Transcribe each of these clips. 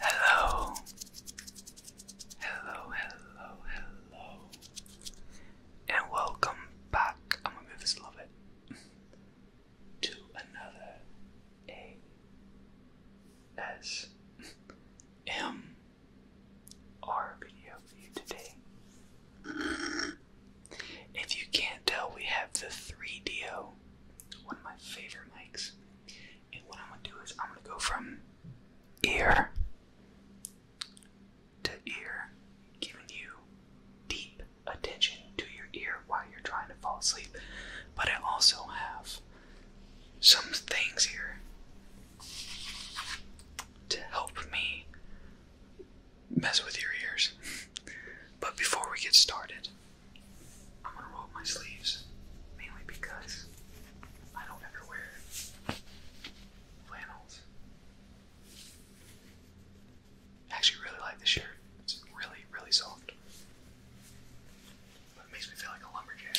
Hello. Hello, hello, hello. And welcome back. I'm gonna move this a little bit. To another A S M R video for you today. If you can't tell, we have the 3DO, one of my favorite mics. And what I'm gonna do is I'm gonna go from ear to ear, giving you deep attention to your ear while you're trying to fall asleep. But I also have some things here to help me mess with your ears. but before we get started, I'm gonna roll up my sleeves, mainly because I don't ever wear flannels. I actually really like this shirt. It's really, really soft. it makes me feel like a lumberjack.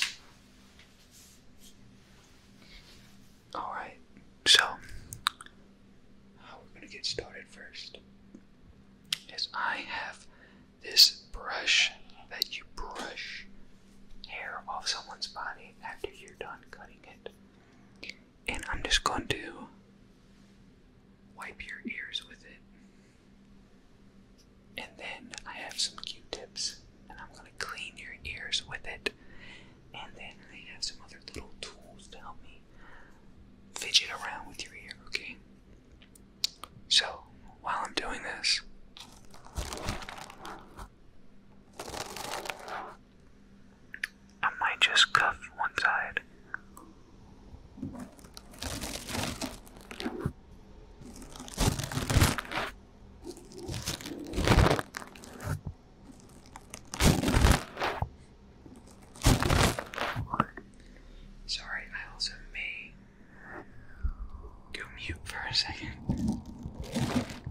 Alright, so how we're gonna get started first is I have this brush that you brush hair off someone's body after you're done cutting it. And I'm just going to wipe your ears with it. And then I have some q tips and I'm going to clean your ears with it. And then I have some other little tools to help me fidget around with your ear, okay? So, while I'm doing this, I might just cuff one side. Sorry, I also may go mute for a second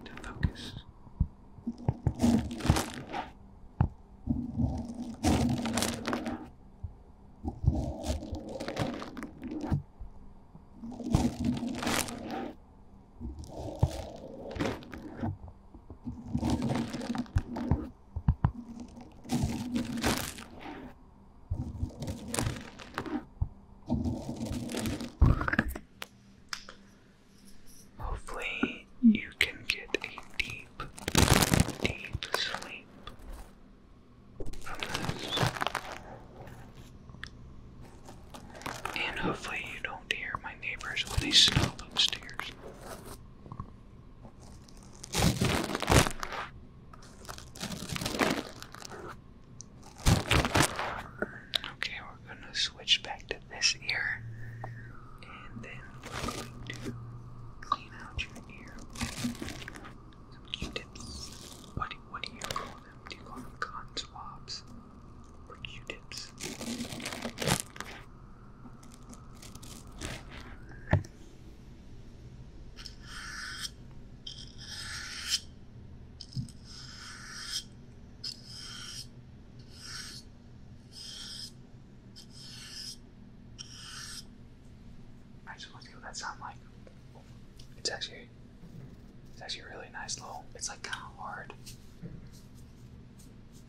to focus. Hopefully, you can get a deep, deep sleep from this. And hopefully, you don't hear my neighbors when they stop upstairs. Okay, we're going to switch back to this ear and then we're going to clean out your ear Q-tips. What, do you call them? Do you call them cotton swabs Q-tips? I just want to see what that sound like. It's actually, it's actually really nice little. It's like kind of hard.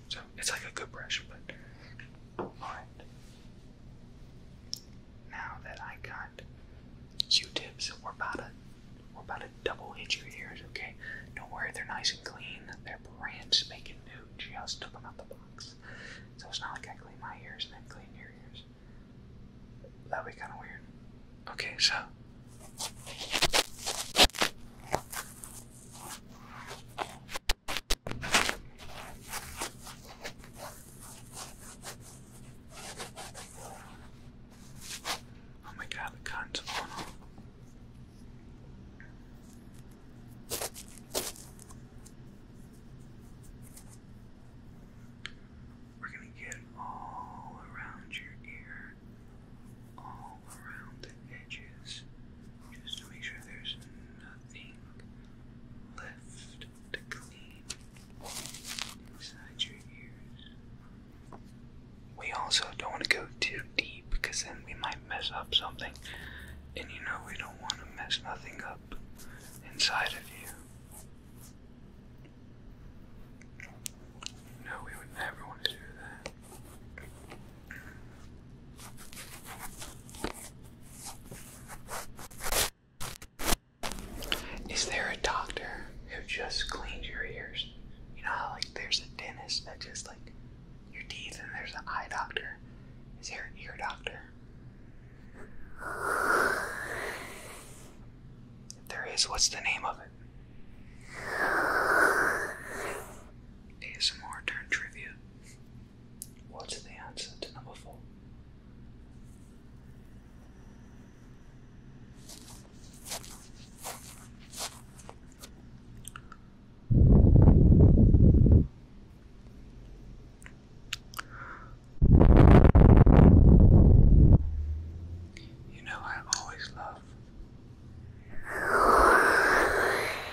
So it's like a good brush, but now that I got Q-tips, we're about to we're about to double hit your ears, okay? Don't worry, they're nice and clean. They're brand spanking new. Just took them out the box, so it's not like I clean my ears and then clean your ears. That'd be kind of weird. Okay, so. Oh my god, the cotton's We're gonna get all around your ear, all around the edges just to make sure there's nothing left to clean inside your ears. We also don't want to go too deep because then we might mess up something, and you know we don't want to mess nothing up inside of you. No, we would never want to do that. Is there a doctor who just cleans your ears? You know like there's a dentist that just like your teeth and there's an eye doctor? Is there an ear doctor? there is, what's the name of it? ASMR turn trivia. What's the answer to number four? You know, I always love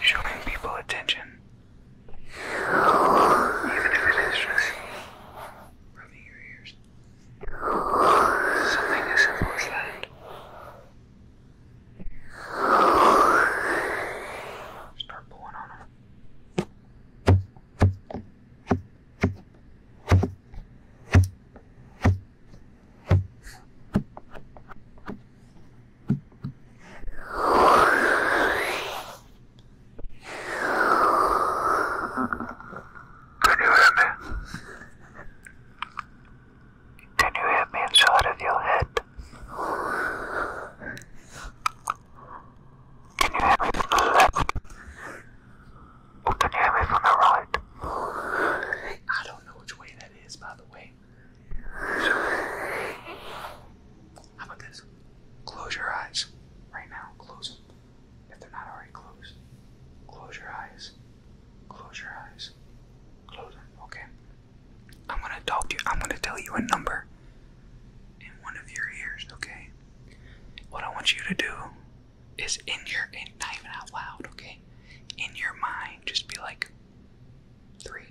showing people attention even if it is just rubbing your ears. Something as simple as that. Start pulling on them. Can you hear me? Can you hear of your head? Can you hear me from the left? can you hear me from the right? I don't know which way that is, by the way how about this? Close your eyes right now. Close them if they're not already closed. Close your eyes. Close your eyes. Close them, okay? I'm gonna talk to you. I'm gonna tell you a number in one of your ears, okay? What I want you to do is in your, not even out loud, okay? In your mind, just be like, 3,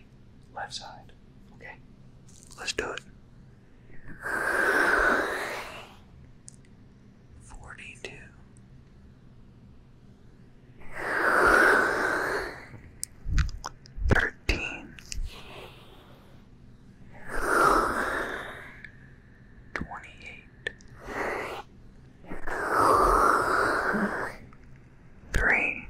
Left side. Okay? Let's do it. 42. Thirteen, twenty-eight, Three.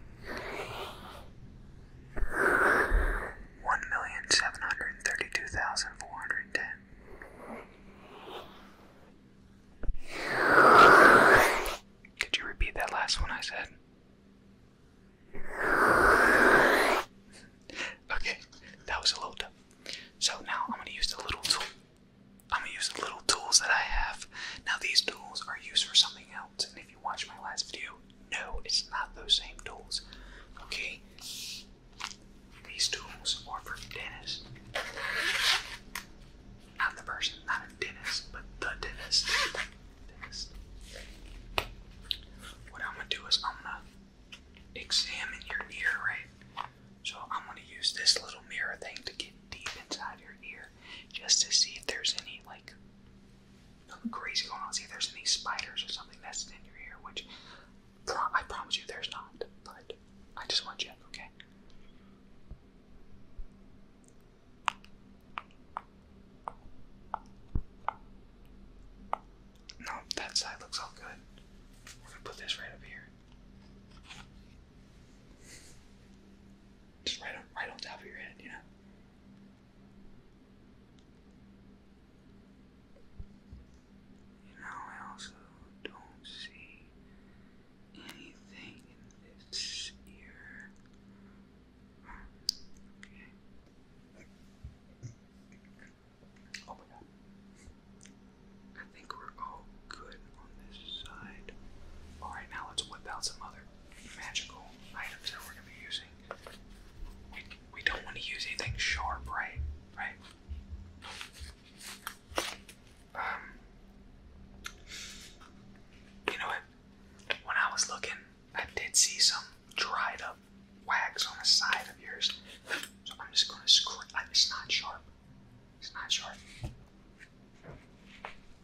One million seven hundred and thirty two thousand four hundred and ten. Did you repeat that last one I said? Okay, that was a little tough. So now I'm gonna use the little tool I'm gonna use the little tools that I have. Now these tools are used for something else, and if you watch my last video, no, it's not those same tools. Okay? These tools are for dentists. Not the person, not a dentist, but the dentist. What I'm gonna do is I'm gonna examine your ear, right? So I'm gonna use this little mirror thing to get deep inside your ear just to see if there's any like crazy going on. See if there's any spiders or something that's in your ear, which I promise you there's not. But I just want to check, okay? No, that side looks all good. We're gonna put this right up here. Just right on, right on top of your head, you know. You know, I also don't see anything in this ear. Okay. Oh my god. I think we're all good on this side. Alright, now let's whip out some other magical items that we're going to be using. We, we don't want to use anything sharp, right? Right? Um, you know what? When I was looking, I did see some dried up wax on the side of yours. So I'm just going to scratch. It's not sharp. It's not sharp.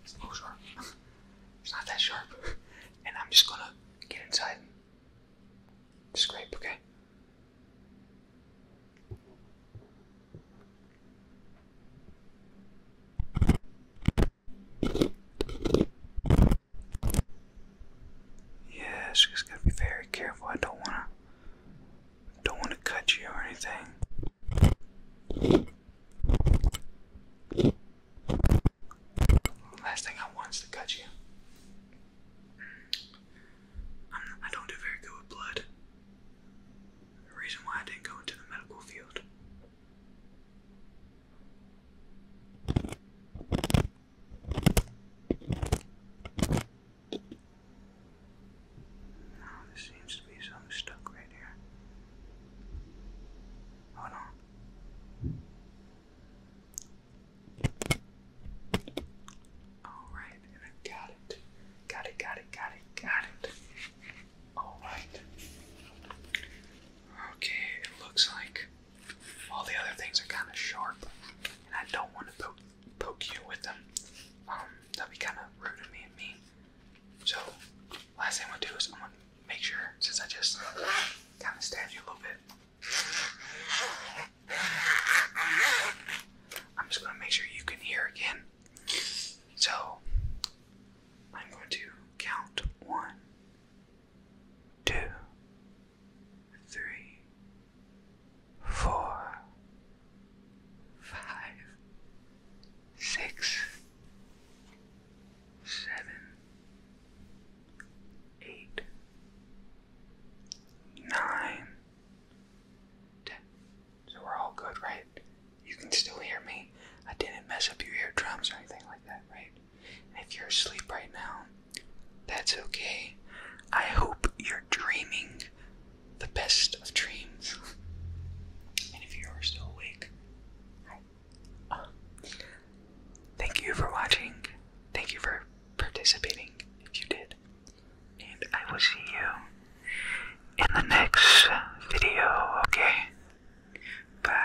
It's not that sharp. And I'm just gonna get inside scrape, okay? Yeah, just gotta be very careful. I don't wanna don't wanna cut you or anything. Last thing I want is to cut you. i don't do very good with blood. The reason why I didn't go into the medical field. No, oh, there seems to be something stuck right here. Oh no. Alright, and I got it. Got it, got it, got it, got it. Alright. Okay, it looks like all the other things are kind of sharp, and I don't want to put poke you with them. Um, that'd be kind of rude of me. So, last thing I'm gonna do is I'm gonna make sure, since I just kind of stabbed you a little bit, I'm just gonna make sure you can hear again. So, I'm going to count one, two, three, four, five, six, seven, eight, nine, ten. So we're all good, right? You can still hear me. I didn't mess up your eardrums or anything like that, right? if you're asleep right now, that's okay. I hope you're dreaming the best of dreams. and if you are still awake, hi. thank you for watching. Thank you for participating if you did. And I will see you in the next video, okay? Bye.